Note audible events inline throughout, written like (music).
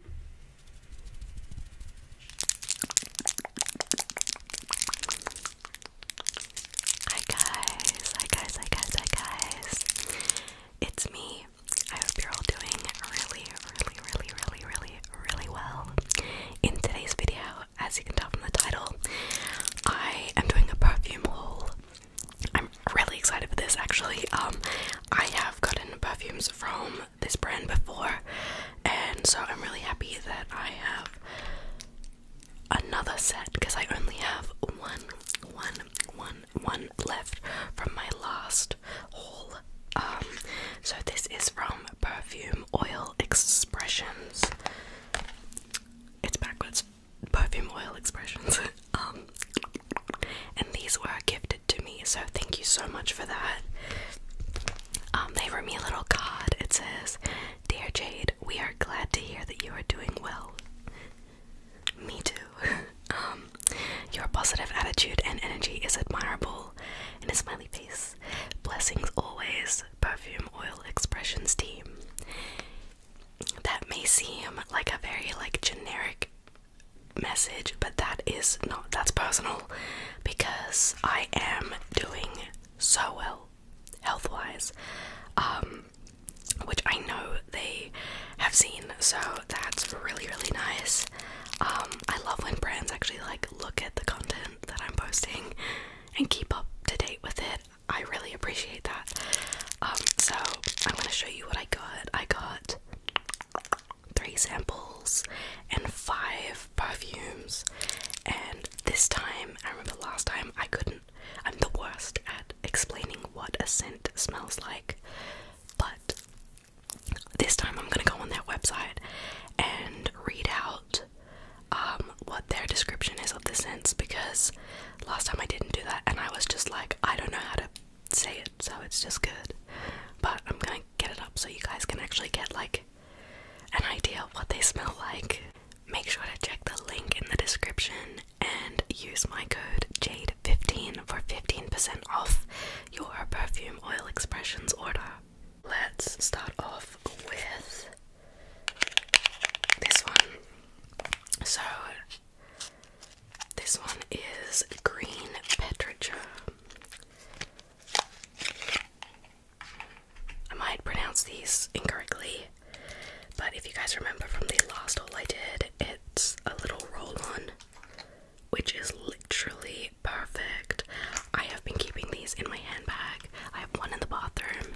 Hi guys, hi guys, hi guys, hi guys. It's me. I hope you're all doing really, really, really, really, really, really well. In today's video, as you can tell from the title, I am doing a perfume haul. I'm really excited for this actually. Um I have gotten perfumes from this brand before, and so I'm really happy that I have another set because I only have one, one, one, one left from my last haul. Um, so this is from Perfume Oil Expressions. It's backwards. Perfume Oil Expressions. (laughs) Um, and these were gifted to me, so thank you so much for that. Um, they wrote me a little card. It says, "Dear Jade, we are glad to hear that you are doing well." Me too. (laughs) Um, your positive attitude and energy is admirable. And a smiley face. Blessings always. Perfume Oil Expressions team. That may seem like a very like generic message, but that is not that's personal because I am doing so well health wise, um, which I know they have seen, so that's really, really nice. Um, I love when brands actually like look at the content that I'm posting and keep up to date with it. I really appreciate that. Um, so I'm gonna show you what I got. I got three samples and five perfumes. And this time, I remember last time I couldn't. I'm the worst at explaining what a scent smells like, but this time I'm gonna go on their website and read out um, what their description is of the scents because last time I didn't do that and I was just like, I don't know how to say it, so it's just good. But I'm gonna get it up so you guys can actually get like an idea of what they smell like. Make sure to check the link in the description and use my code JADE15 for 15% off your perfume oil expressions order. Let's start off with this one. So this one is Green Petricha. I might pronounce these incorrectly, but if you guys remember from the last haul I did, it's a little roll on, which is literally perfect. I have been keeping these in my handbag. I have one in the bathroom.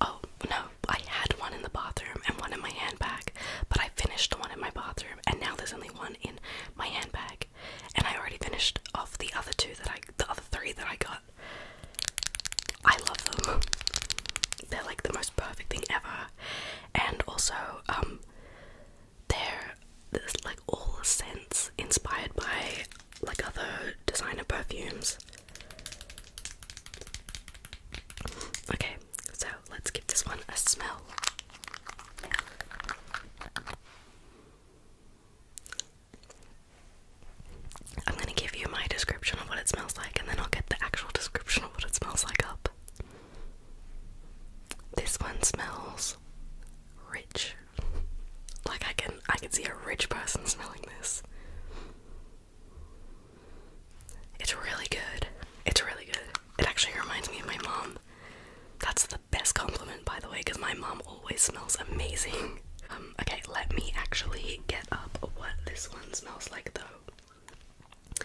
Oh no, I had one in the bathroom and one in my handbag, but I finished the one in my bathroom, and now there's only one in my handbag, and I already finished off the other two that I, the other three that I got. I love them. They're like the most perfect thing ever, and also um, they're like all scents inspired by like other designer perfumes. Okay, so let's give this one a smell. I'm going to give you my description of what it smells like, and then I'll get the actual description of what it smells like up. This one smells rich. Like I can I can see a rich person smelling this. It's really good. It's really good. It actually reminds me of my mom. That's the best compliment, by the way, because my mom always smells amazing. Um, okay, let me actually get up what this one smells like, though.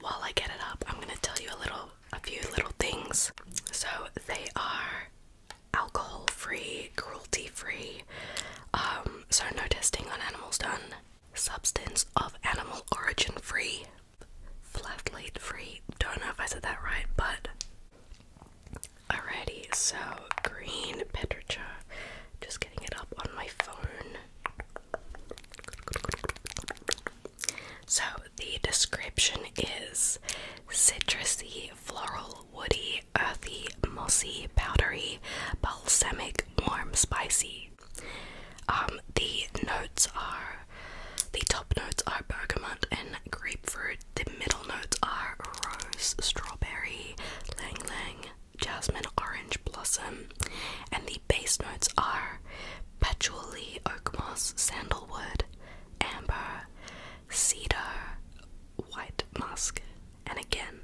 While I get it up, I'm gonna tell you a little, a few little things. So they are alcohol-free, cruelty-free. Um, so no testing on animals done substance of animal origin free, flavulate free. Don't know if I said that right, but. Alrighty, so green Petricha. Just getting it up on my phone. So the description is citrusy, floral, woody, earthy, mossy, powdery, balsamic, warm, spicy. Um, the notes are the top notes are bergamot and grapefruit. The middle notes are rose, strawberry, lang lang, jasmine, orange blossom, and the base notes are patchouli, oak moss, sandalwood, amber, cedar, white musk. And again,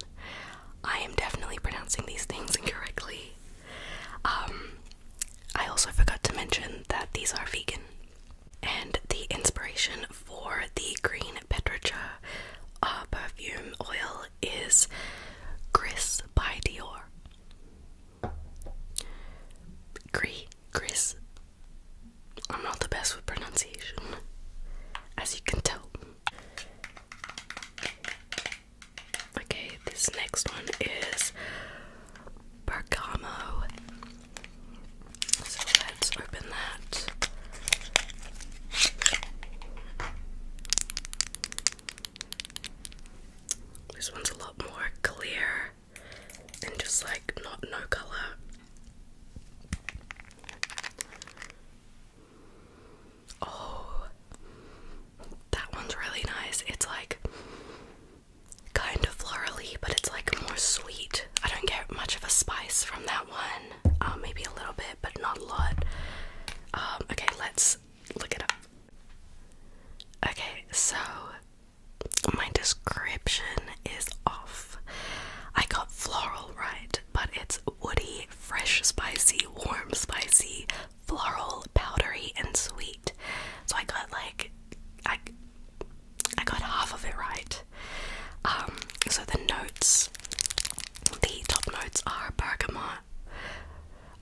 I am definitely pronouncing these things (laughs) incorrectly. Um, I also forgot to mention that these are vegan, and the inspiration for the green Petricha uh, perfume oil is Gris by Dior. Gris, Gris. I'm not the best with pronunciation, as you can tell. Okay, this next one is Bergamo. So let's open that. This one's a lot more clear and just like not no color. Oh, that one's really nice. It's like kind of florally, but it's like more sweet. I don't get much of a spice from that one. Um, maybe a little bit, but not a lot. Um, okay, let's look it up. Okay, so my description is off. I got floral right, but it's woody, fresh, spicy, warm, spicy, floral, powdery, and sweet. So I got like I I got half of it right. Um, so the notes, the top notes are bergamot,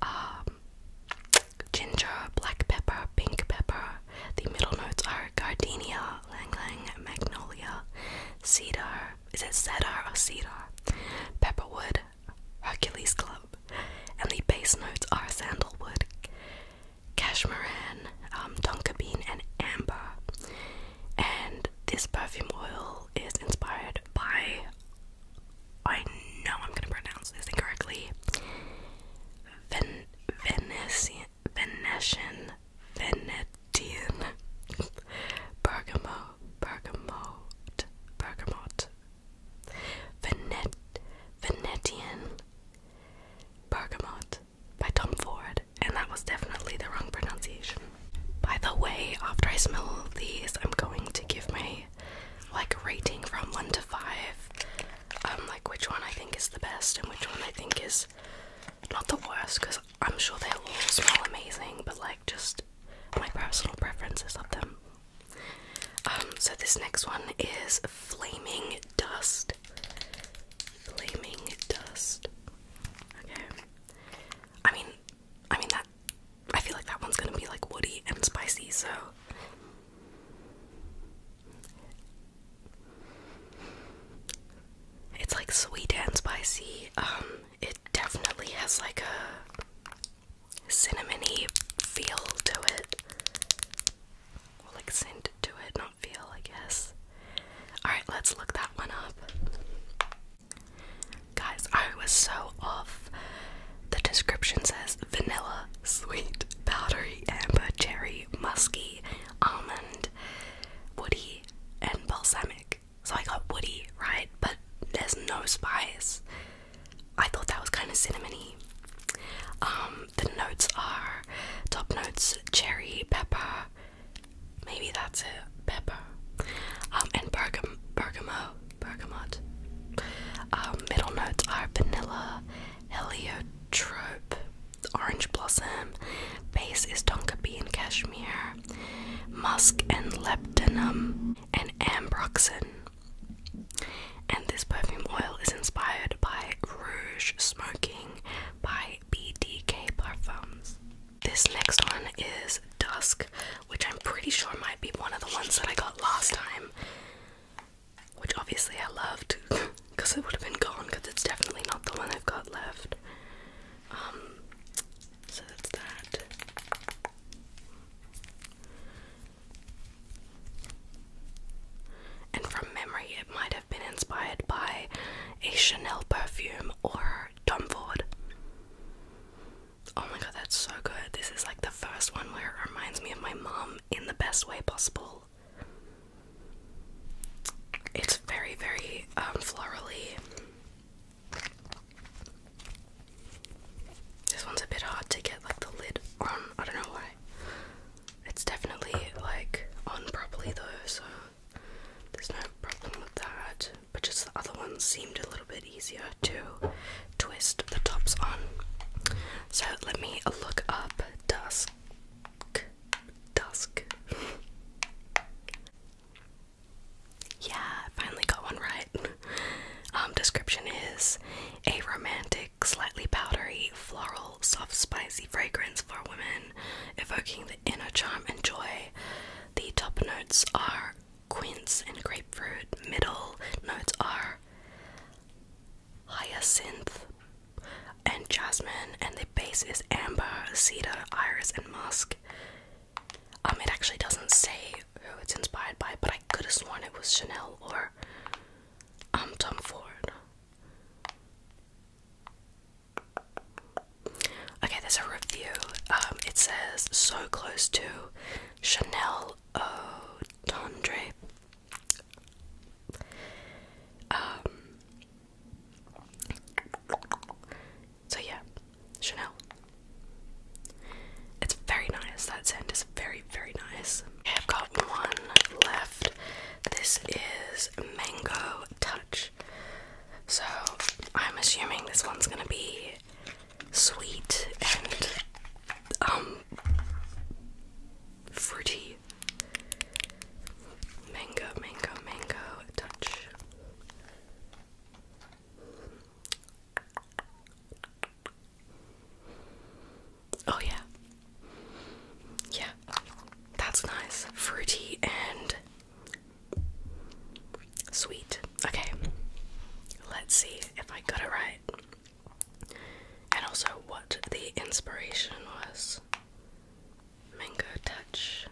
um, ginger, black pepper, pink pepper. The middle notes are gardenia, lang lang, magnolia, cedar. Is it cedar or cedar? Pepperwood, Hercules Club, and the base notes are sandalwood, cashmeran, um, tonka bean, and amber. And this perfume oil is inspired by, I know I'm going to pronounce this incorrectly, Venetian, Venetian, Venetian, (laughs) Bergamo, Bergamot, Bergamot, Venetian Bergamot by Tom Ford, and that was definitely the wrong pronunciation. By the way, after I smell all of these, I'm going to give my like rating from one to five. Um, like which one I think is the best and which one I think is not the worst, because I'm sure they all smell amazing, but like just my personal preferences of them. Um, so this next one is Flaming Dust. Flaming Dust. Okay. I mean, I mean that. I feel like that one's gonna be like woody and spicy, so. It's like sweet and spicy. Um, it definitely has like a cinnamony feel to it. Or like scent to it, not feel, I guess. Alright, let's look that one up. Guys, I was so off. The description says vanilla, sweet, powdery, amber, cherry, musky, almond, woody, and balsamic. So I got woody, right? But there's no spice. I thought that was kind of cinnamony. Um, the notes are top notes cherry, pepper, maybe that's it, pepper, um, and bergam bergamot. Um, middle notes are vanilla, heliotrope, orange blossom. Base is tonka bean cashmere, musk and leptinum and ambroxan. And this perfume oil is inspired by Rouge Smoking by BDK Perfumes. This next one is Dusk, which I'm pretty sure might be one of the ones that I got last time, which obviously I loved because (laughs) it would have been gone because it's definitely not the one I've got left. Um, so that's that. And from memory, it might have been inspired by a Chanel perfume or Tom Ford. Oh my god, that's so good. This is like the first one where it reminds me of my mom in the best way possible. It's very, very um, florally. This one's a bit hard to get like the lid on. I don't know why. It's definitely like on properly though, so there's no problem with that. But just the other ones seemed a little bit easier to twist the tops on. So let me look up dusk. Dusk. (laughs) Yeah, finally got one right. (laughs) Um, description is a romantic, slightly powdery, floral, soft, spicy fragrance for women, evoking the inner charm and joy. The top notes are quince and grapefruit, middle notes are hyacinth and jasmine, and the base is amber, cedar, iris, and musk. Um, it actually doesn't say who it's inspired by, but I could have sworn it was Chanel or um Tom Ford. Okay, there's a review. Um, it says so close to Chanel O'Tondre. Um, so yeah, Chanel. It's very nice. That scent is very, very nice. I've got one left. This is Mango Touch. So I'm assuming this one's gonna be sweet and um fruity. Mango, mango, mango touch. Oh, yeah. Yeah. That's nice. Fruity and sweet. Okay. Let's see if I got it right. And also what the inspiration was. Mango touch.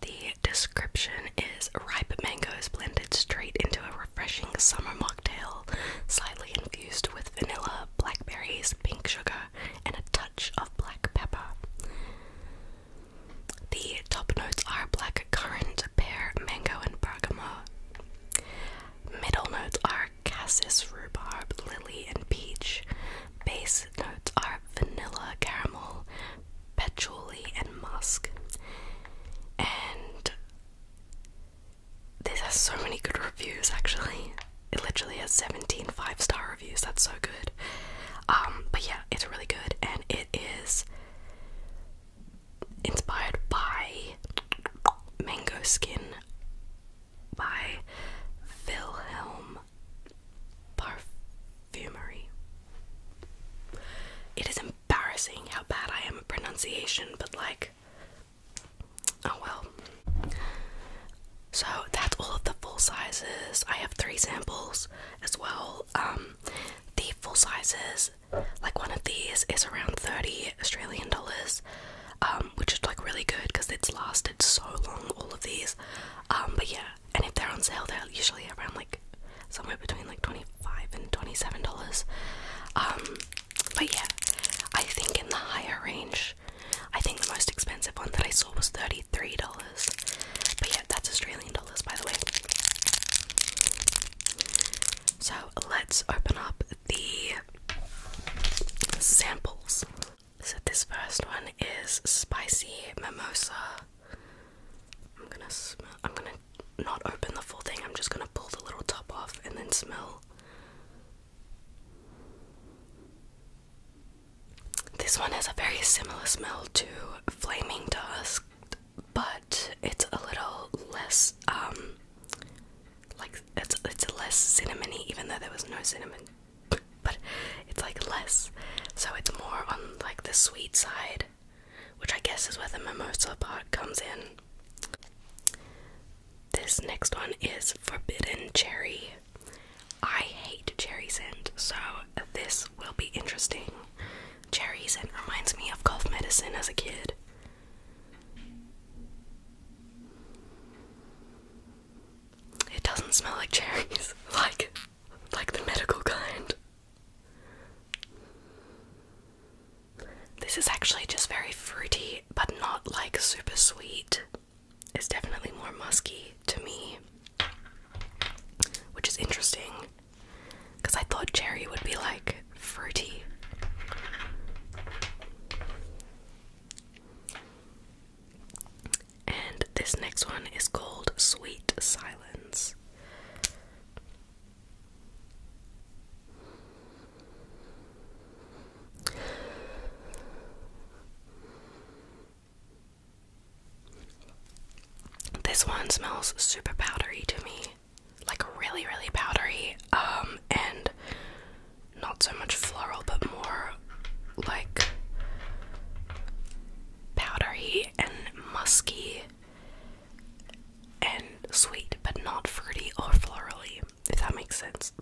The description is ripe mangoes blended straight into a refreshing summer mocktail, slightly infused with vanilla, blackberries, pink sugar, and a touch of black pepper. The top notes are black currant, pear, mango, and bergamot. Middle notes are cassis, rhubarb, lily, and peach. Base notes are vanilla, caramel, patchouli, and musk. And this has so many good reviews actually. It literally has 17 five star reviews, that's so good. Um, but yeah, it's really good and it is inspired by mango skin by Wilhelm Parfumery. It is embarrassing how bad I am at pronunciation, but like, oh well. So that's all of the full sizes. I have three samples as well. Um, the full sizes, like one of these, is around 30 Australian dollars, um, which is like really good because it's lasted so long, all of these. Um, but yeah, and if they're on sale, they're usually around like somewhere between like 25 and 27 dollars. Um, but yeah, I think in the higher range, I think the most expensive one that I saw was 33 dollars. But yeah, that's Australian dollars, by the way. So let's open up the samples. So this first one is spicy mimosa. I'm gonna smell. I'm gonna not open the full thing. I'm just gonna pull the little top off and then smell. This one has a very similar smell to Flaming Dusk, but it's a little less um like it's it's less cinnamony even though there was no cinnamon but it's like less, so it's more on like the sweet side, which I guess is where the mimosa part comes in. This next one is forbidden cherry. I hate cherry scent, so this will be interesting. Cherry scent reminds me of cough medicine as a kid. It doesn't smell like cherries, (laughs) like like the medical kind. This is actually just very fruity, but not like super sweet. It's definitely more musky to me, which is interesting because I thought cherry would be like fruity. And this next one is called Sweet Silence. This one smells super powdery to me. Like really, really powdery. Um, and not so much floral but more like powdery and musky and sweet but not fruity or florally, if that makes sense.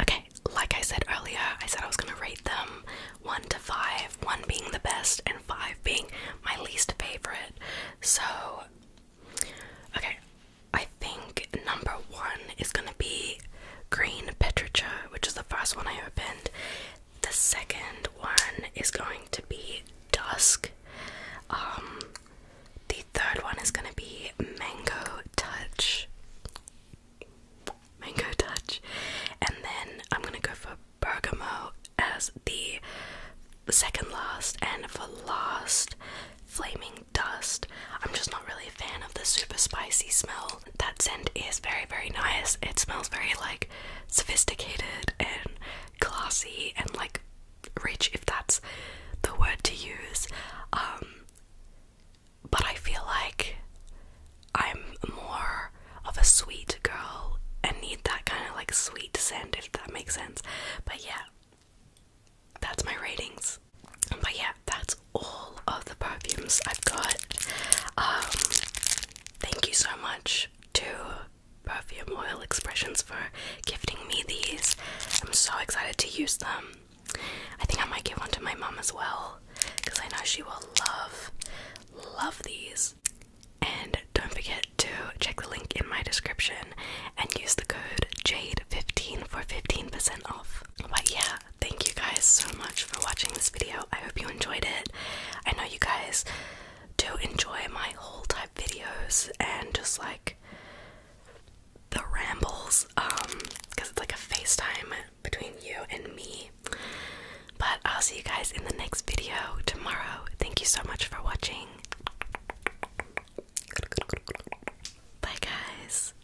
Okay, like I said earlier, I said I was gonna rate them one to five, one being the best and five being my least favorite. So okay, I think number one is gonna be green petricha, which is the first one I opened. The second one is going to be dusk. Um, the third one is going to be mango touch. Mango touch, and then I'm gonna go for bergamo as the second last, and for last, flaming dust. I'm just not really a fan of the super spicy smell that scent is very, very nice. It smells very like sophisticated and classy and like rich, if that's the word to use. Um, but I feel like I'm more of a sweet girl and need that kind of like sweet scent, if that makes sense. But yeah, that's my ratings. But yeah, that's all of the perfumes I've got. Um, thank you so much to Perfume Oil Expressions for gifting me these. I'm so excited to use them. I think I might give one to my mom as well because I know she will love, love these. And don't forget to check the link in my description and use the code JADE15 for 15% off. But yeah, thank you guys so much for watching this video. I hope you enjoyed it. I know you guys do enjoy my whole type videos and just like the rambles, um, because it's like a FaceTime between you and me. But I'll see you guys in the next video tomorrow. Thank you so much for watching. Bye, guys.